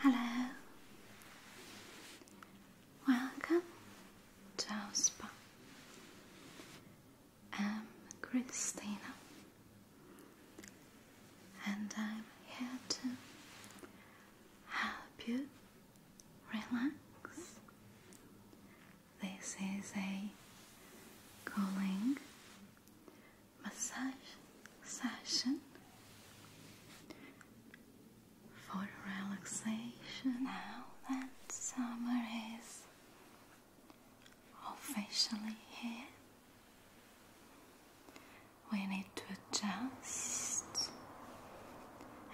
Hello, welcome to our spa. I'm Christina, and I'm here to help you relax. This is a cooling massage session for relaxation. Now that summer is officially here, we need to adjust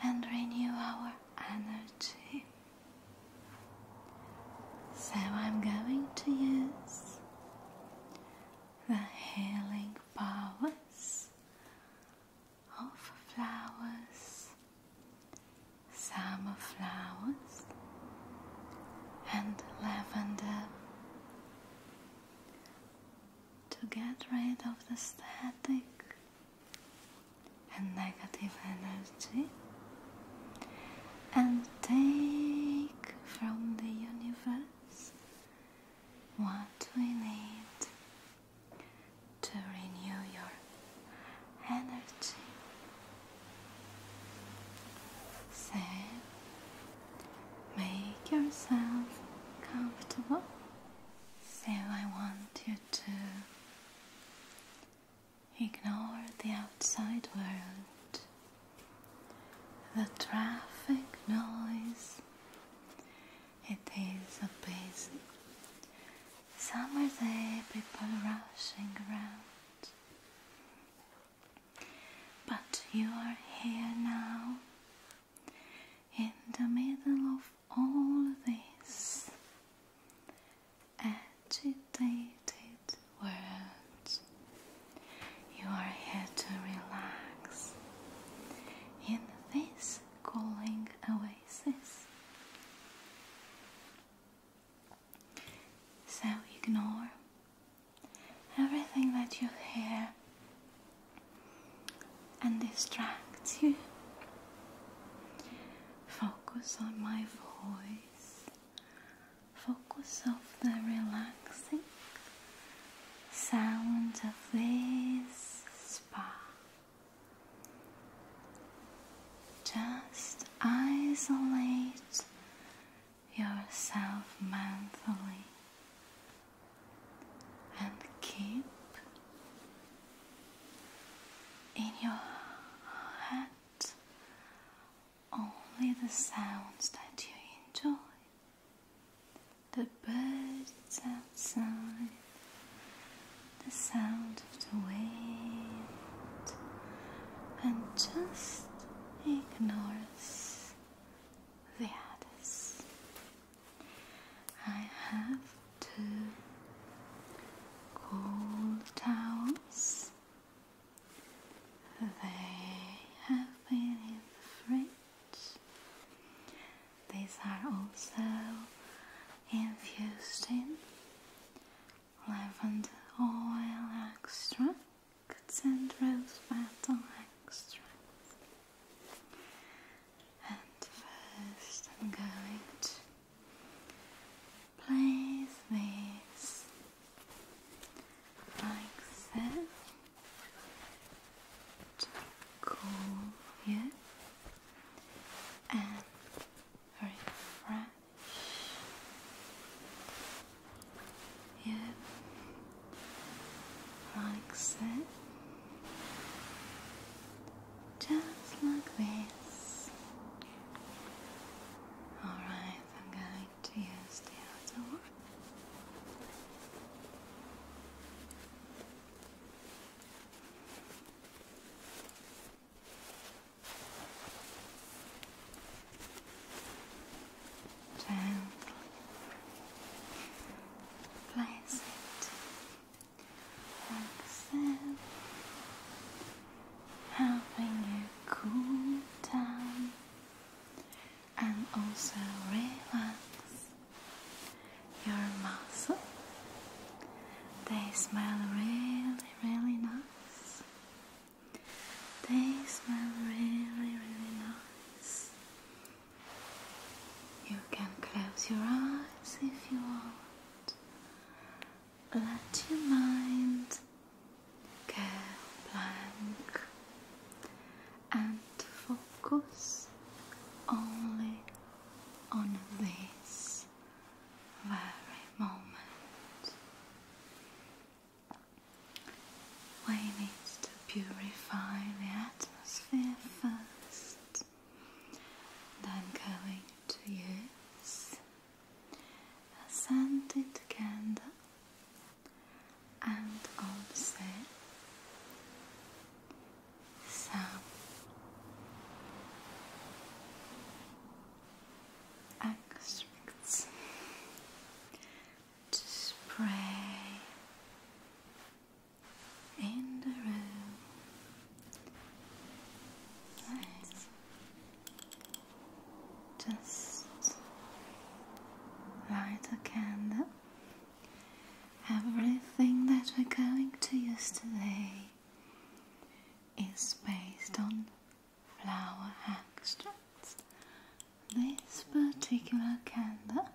and renew our energy. So I'm going to use the healing powers of flowers, summer flowers, and lavender to get rid of the static and negative energy and take from the universe what we need to renew your energy. Say, make yourself comfortable so I want you to ignore the outside world, the traffic noise. It is a busy summer day, people rushing around. But you are here now in the middle of all these agitated words. You are here to relax in this cooling oasis. So ignore everything that you hear and distracts you. Focus on my voice. Focus of the relaxing sound of this spa. Just isolate yourself mentally and keep in your head only the sounds that you enjoy the birds outside, the sound of the wind, and just ignore the others. I have two cold towels. They have been in the fridge. These are also infused in lavender oil extracts and rose petal extract. And first, I'm going to place these like so cool you and refresh you like so, just like this. Alright, I'm going to use the other one. Gently place it like so, helping you cool down and also relax your muscles. They smell really, really nice. They smell really, really nice. You can close your eyes if you want. Let your mind go blank and focus only on this very moment. We need purify the atmosphere first. And i to use a scented candle and also some extracts to spray and the room, Just light a candle. Everything that we're going to use today is based on flower extracts this particular candle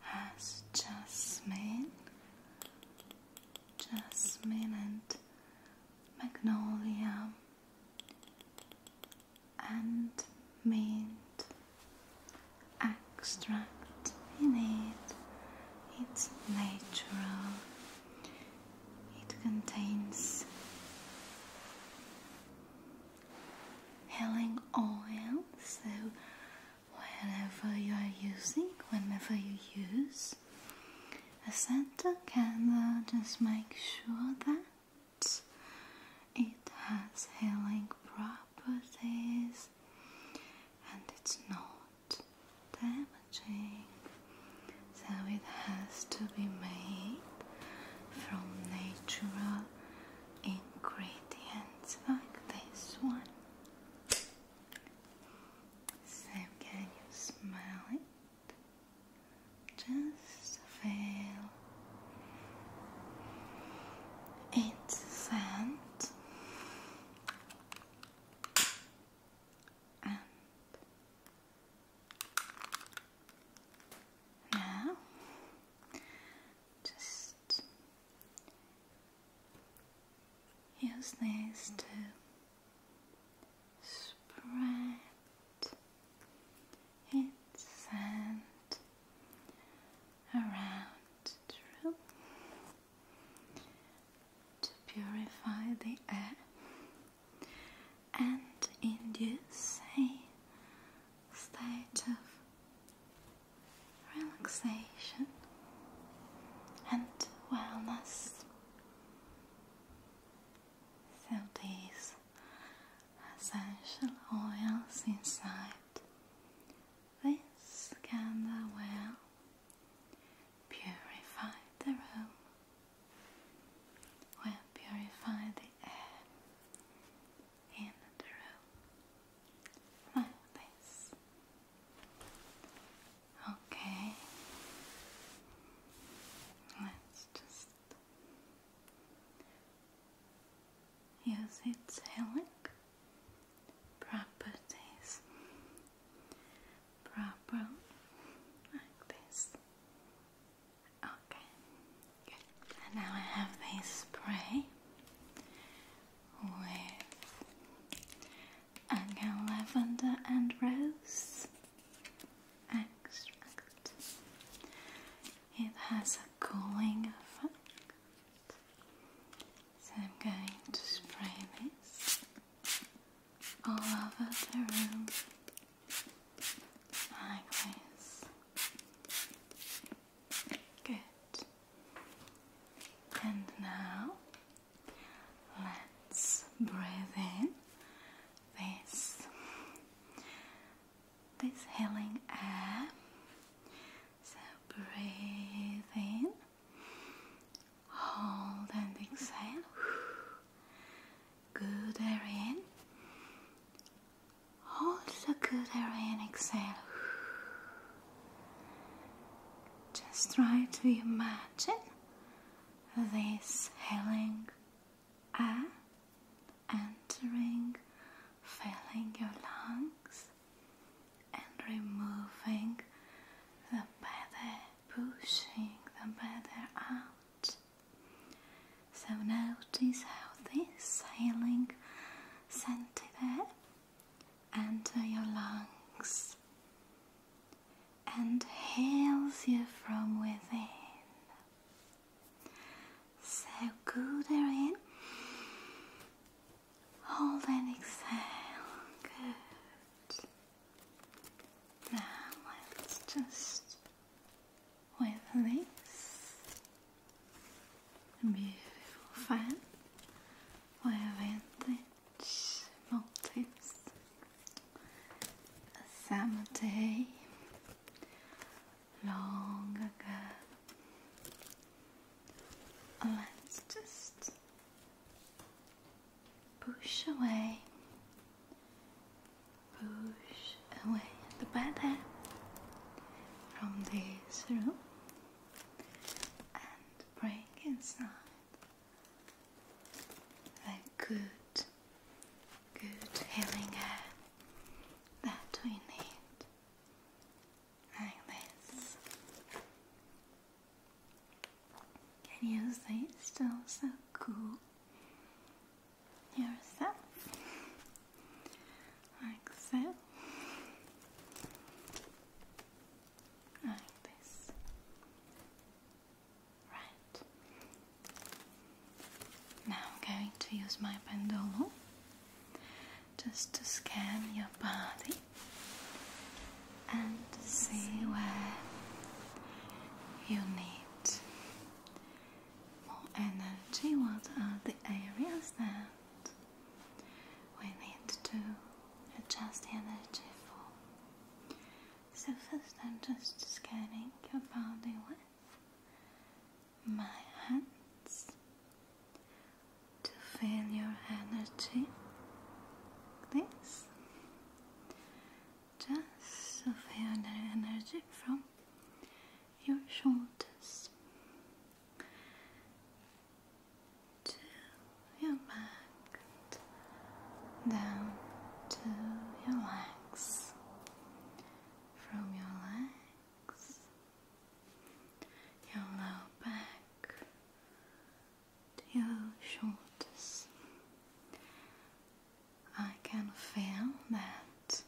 has jasmine, jasmine and magnolia and mint extract in it. It's natural. It contains healing oil. So, whenever you are using, whenever you use a scented candle, just make sure that it has healing properties and it's not damaging. So, it has to be made from natural ingredients like this one. So, can you smell it? Just feel its scent now just use this to spread its sand around to purify the air and induce a state of relaxation and wellness. So these essential oils inside this candle will purify the room, will purify the air, in the room like this. Okay, let's just use its healing properties properly like this Okay, And now I have this spray with again lavender and rose extract. It has a cooling effect. So I'm going to spray this all over the room. Likewise. Good. And now let's breathe in this this healing air. So breathe in, hold and exhale. Good air in. Hold the good air in, exhale. Just try to imagine this healing air entering, filling your lungs, and removing the bad air, pushing the bad air out. So notice how this healing scented air enters your lungs and heals you from within. So good air in, hold and exhale. Good. Now let's just with this beautiful fan with vintage motifs. A summer day long ago. Let's just push away push away the bad hair from this room and bring in some good, good healing air that we need like this. Can you see it's still so cool yourself like so like this right now I'm going to use my pendulum just to scan your body and see where you need more energy, what are the areas that we need to adjust energy for? So first I'm just scanning your body with my hands to feel your energy this just to feel the energy from your shoulders to your back, down to your legs, from your legs, your low back to your shoulders. I can feel that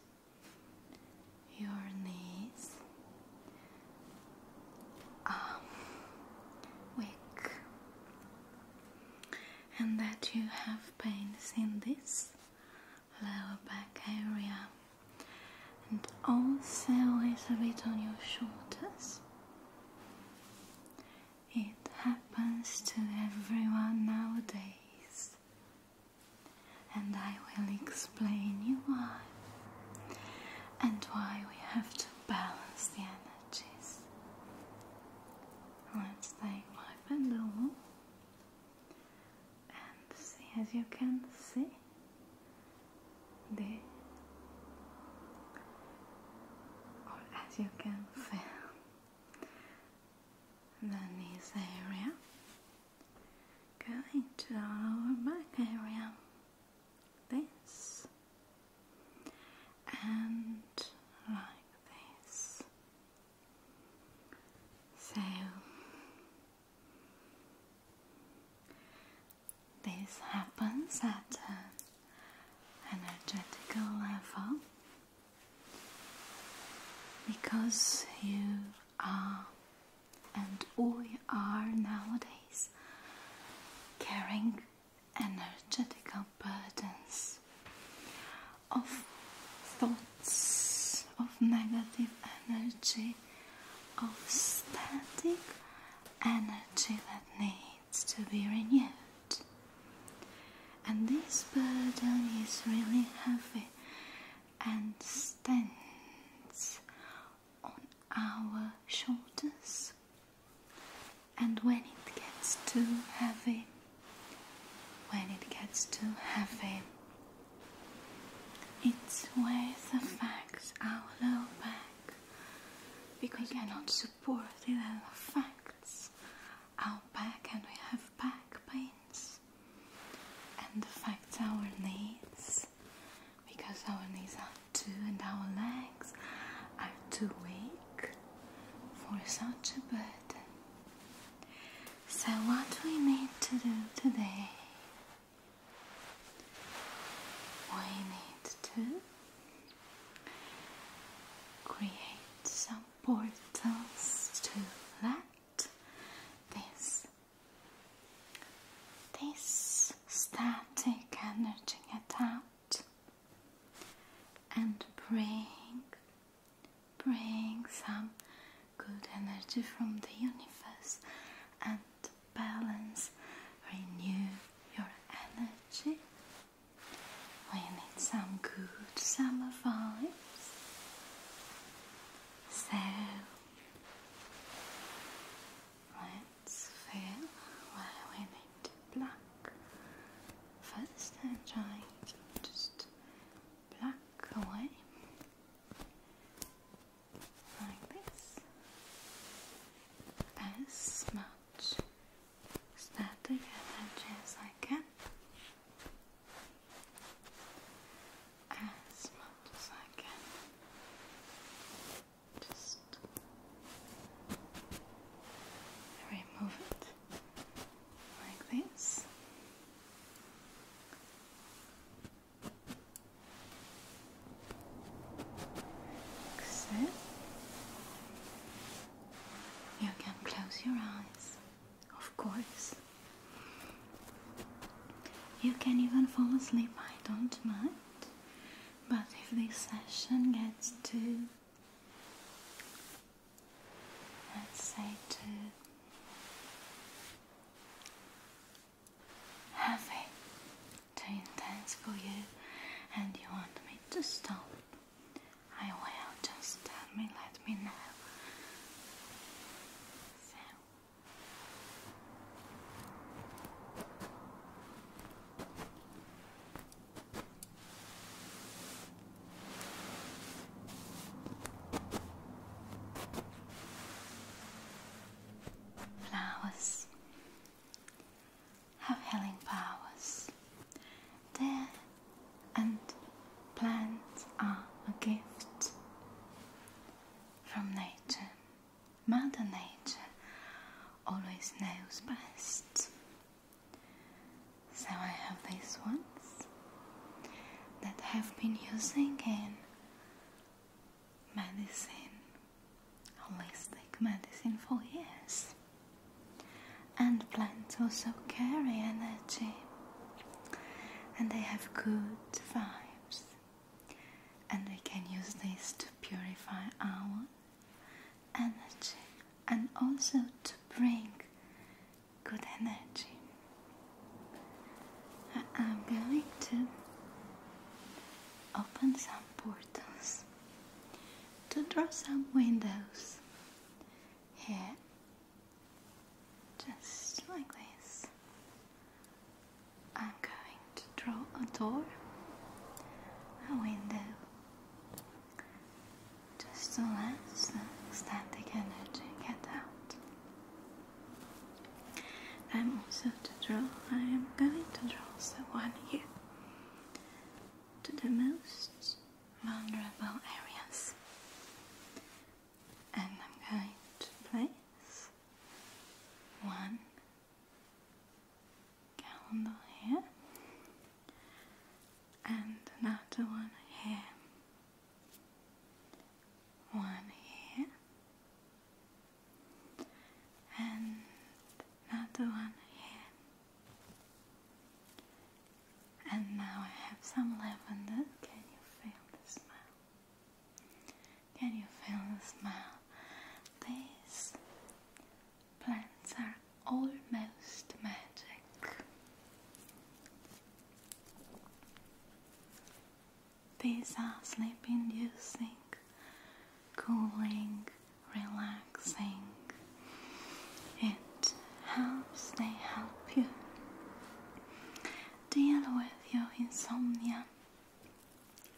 your knees are weak and that you have pains in this lower back area and also a bit on your shoulders. It happens to everyone nowadays and I will explain you why and why we have to balance the energies. Let's take my pendulum and see as you can see the or as you can feel and area, going to the back area, this and like this. So this happens at an energetic level because you are and we are nowadays carrying energetic burdens of thoughts of negative energy, of static energy that needs to be renewed and this burden is really heavy and stands on our shoulders. And when it gets too heavy, when it gets too heavy, it weighs affects our low back because we cannot support it and affects our back and we have back pains and affects our knees because our knees are too and our legs are too weak for such a burden. So, what we need to do today, we need to create some portals to let this this static energy get out and bring bring some good energy from the universe and balance renew your energy we need some good summer vibes so let's fill where we need black. First, just black away like this as much static as I can as much as I can. Just remove it like this. Except you can close your eyes. Of course. You can even fall asleep, I don't mind. But if this session gets too, let too heavy, too intense for you, and you want me to stop, I will just tell me, let me know. Flowers have healing powers there, and plants are a gift from nature. Mother Nature always knows best. So I have these ones that have been using in medicine, holistic medicine for years. And plants also carry energy and they have good vibes. And they can use this to purify our energy and also to bring good energy. I'm going to open some portals to draw some windows here just like this. I'm going to draw a door, a window, just to let the static energy get out. I'm also to draw, I am going to draw someone here to the most vulnerable areas. And I'm going to place one calendar here and another one here. One here and another one here. And now I have some lavender. Can you feel the smell? Can you feel the smell? These plants are almost magic. These are sleep inducing, cooling, relaxing. It helps they help you deal with your insomnia,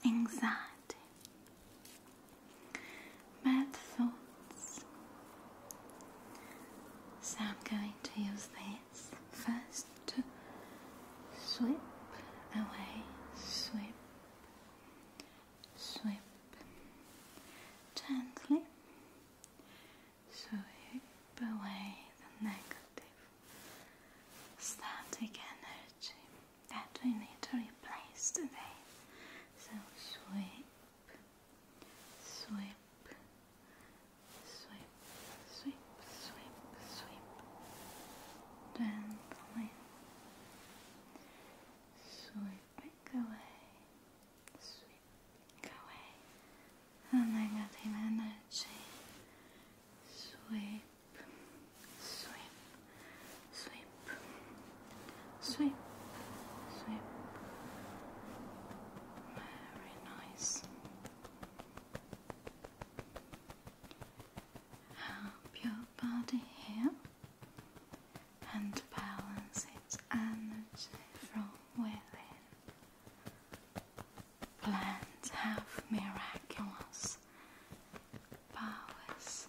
anxiety, bad thoughts. So I'm going to use this first to sweep away, sweep, sweep gently so keep away the negative static energy that we need to replace today. So sweep, sweep. Sweep, sweep, sweep, sweep, gently sweeping away sweep away the negative energy. Sweep, sweep, sweep, sweep, sweep. Very nice. Help your body here and balance its energy from within. Plants have miraculous powers.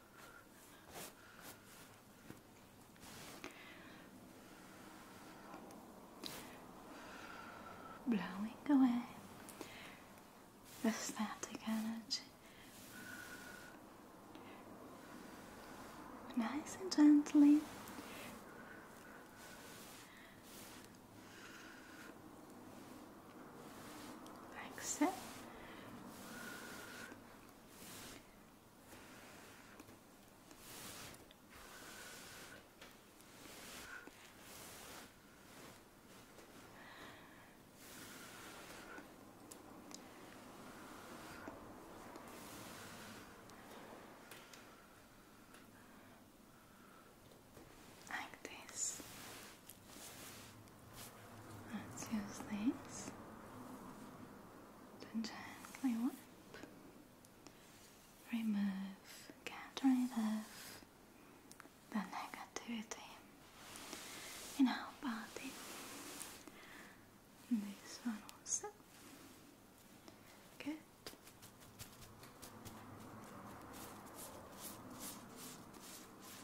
blowing away the static energy nice and gently like so. Like this, Let's use this to gently wipe, remove, get rid of the negativity in our body. This one also. Good.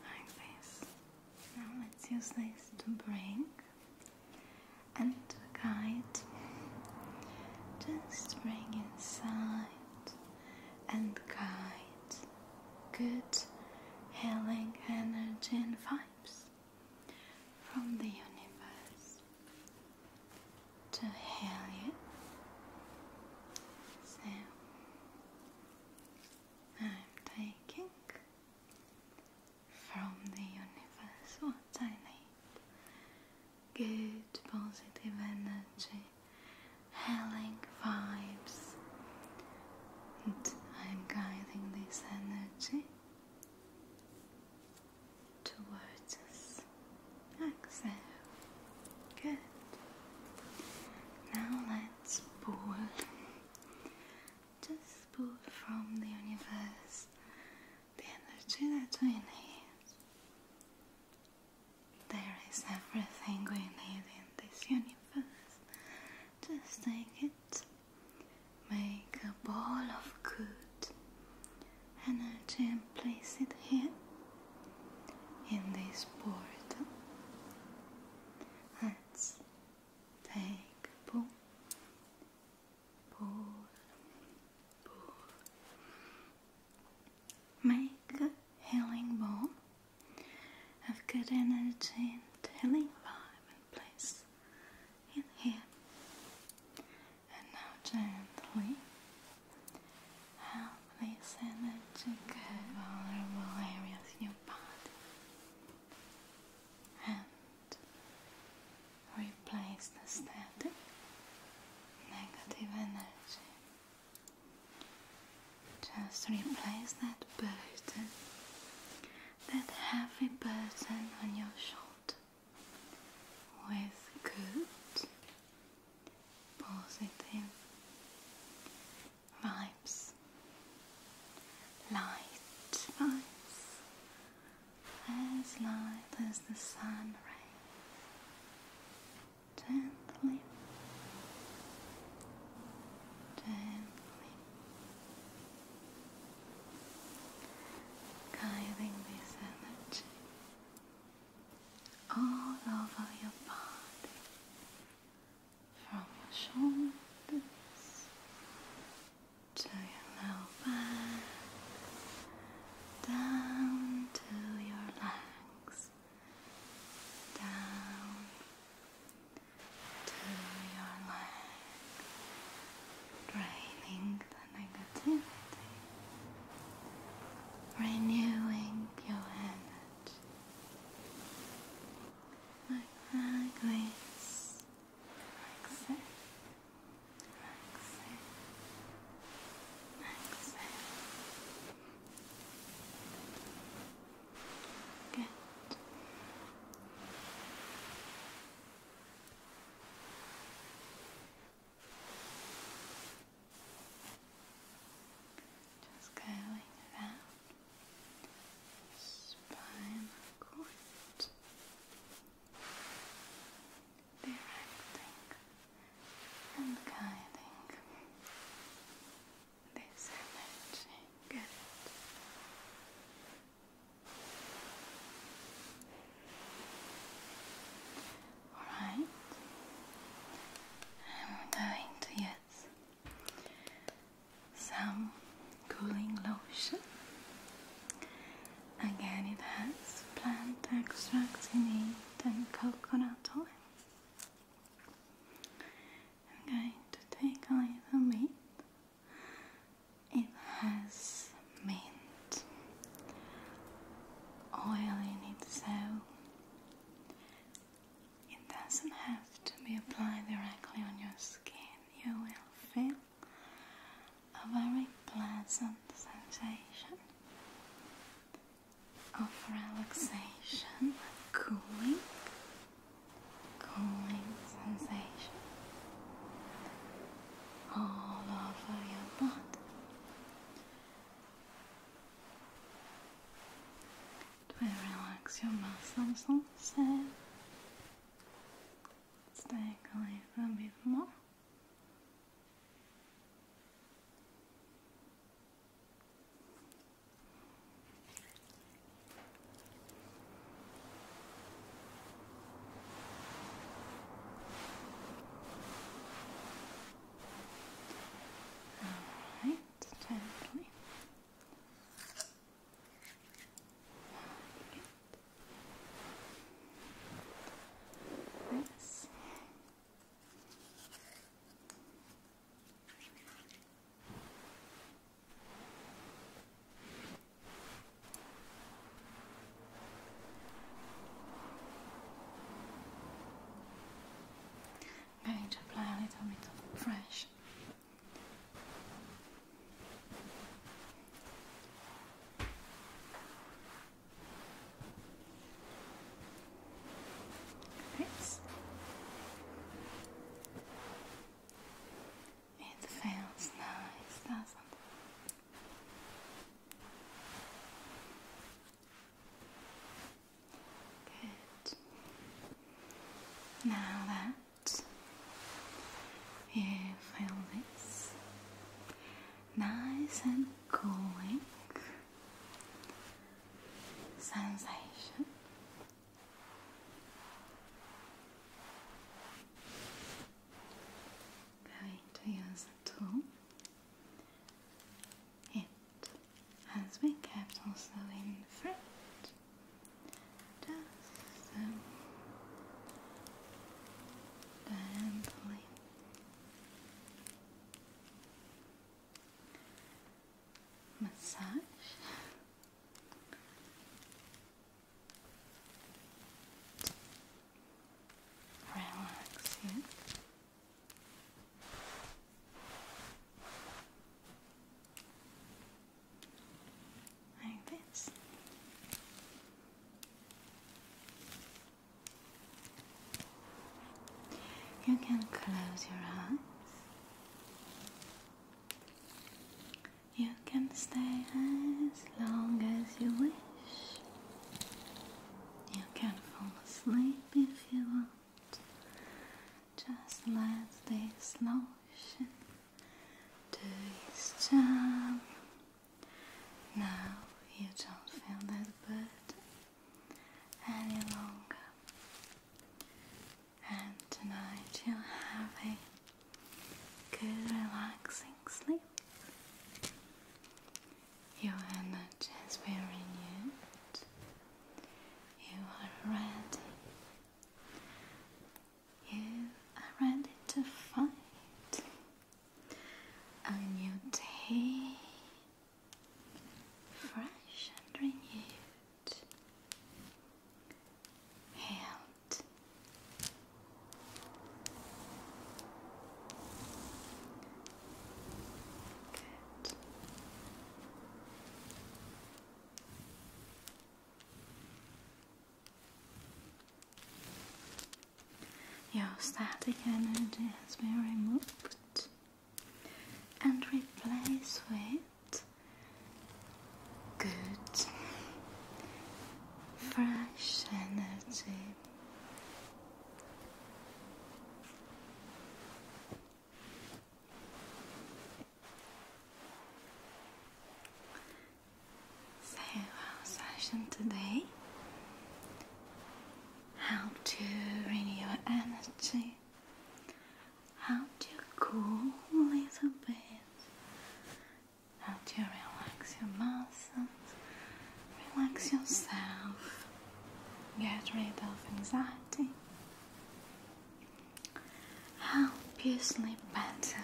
Like this. Now let's use this to bring and to guide. Just bring inside and guide good healing energy and vibes from the universe to heal you. So I'm taking from the universe what I need good positive energy, healing vibes, and I'm guiding this energy towards us. Exhale. Good. Now let's. Just pull from the universe the energy that we need. There is everything we need in this universe. Just take it, make a ball of good energy and place it here in this portal. Let's take a pull, pull, pull. Make a healing ball of good energy and healing vibe and place in here. And now gently help Place energy vulnerable areas in your body and replace the static negative energy. Just replace that burden, that heavy burden on your shoulder with good, positive, vibes, light vibes. As light as the sun rays, gently, gently guiding this energy all over your body from your shoulders to your low back, down to your legs, down to your leg, draining the negativity, renewing your energy. Like that, Grace. Relax it. Relax it. Relax Good. Just going down the directing and guiding this energy. Good. All right. I'm going to use some cooling lotion. Again, it has plant extracts in it and coconut oil. I'm going to take a little bit. It has mint oil in it, so it doesn't have to be applied directly on your skin. You will feel a very pleasant sensation of relaxation, cooling, cooling sensation all over your body. It will relax your muscles also. Let's take a little bit more. All right gently. Like this. I'm going to apply a little bit of fresh. Oops. It feels nice, doesn't it? Now that you feel this nice and cooling sensation. Going to use a tool as we kept also in front. Just um, so gently. Massage relax you like this. You can close your eyes. You can stay as long as you wish. You can fall asleep if you want. Just let this lotion do its job. Now you don't feel that bad any longer. And tonight you will have a good relaxing sleep. Your energy has been renewed. You are ready. You are ready to fight a new day, fresh and renewed, healed. Good. Your static energy has been removed and replaced with good, fresh energy. So our session today how to renew energy, how to cool a little bit, how to relax your muscles, relax yourself. Get rid of anxiety. Help you sleep better.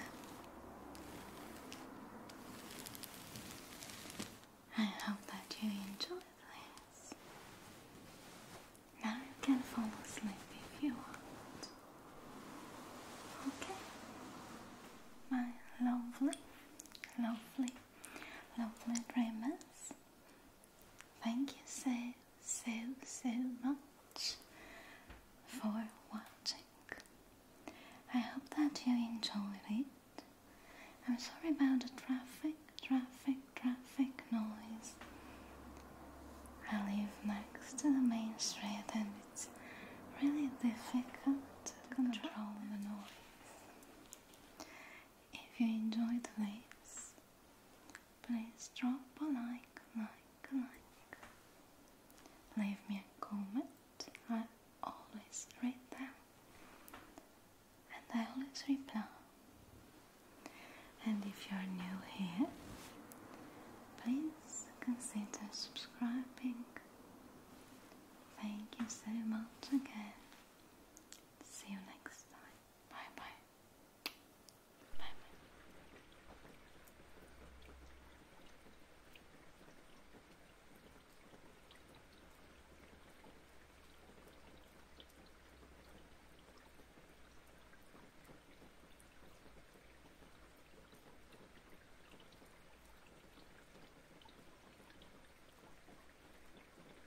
I hope that you enjoy this. Now you can fall asleep if you want. Okay? My lovely, lovely, lovely dreamers. Thank you so, so, so much for watching. I hope that you enjoyed it. I'm sorry about the traffic, traffic, traffic noise. I live next to the main street and it's really difficult to control the noise. If you enjoyed this, please drop a like, like, like. Leave me a comment, I always read them and I always reply. And if you are new here, please consider subscribing. Thank you so much again, See you next time. Bye bye. Bye bye.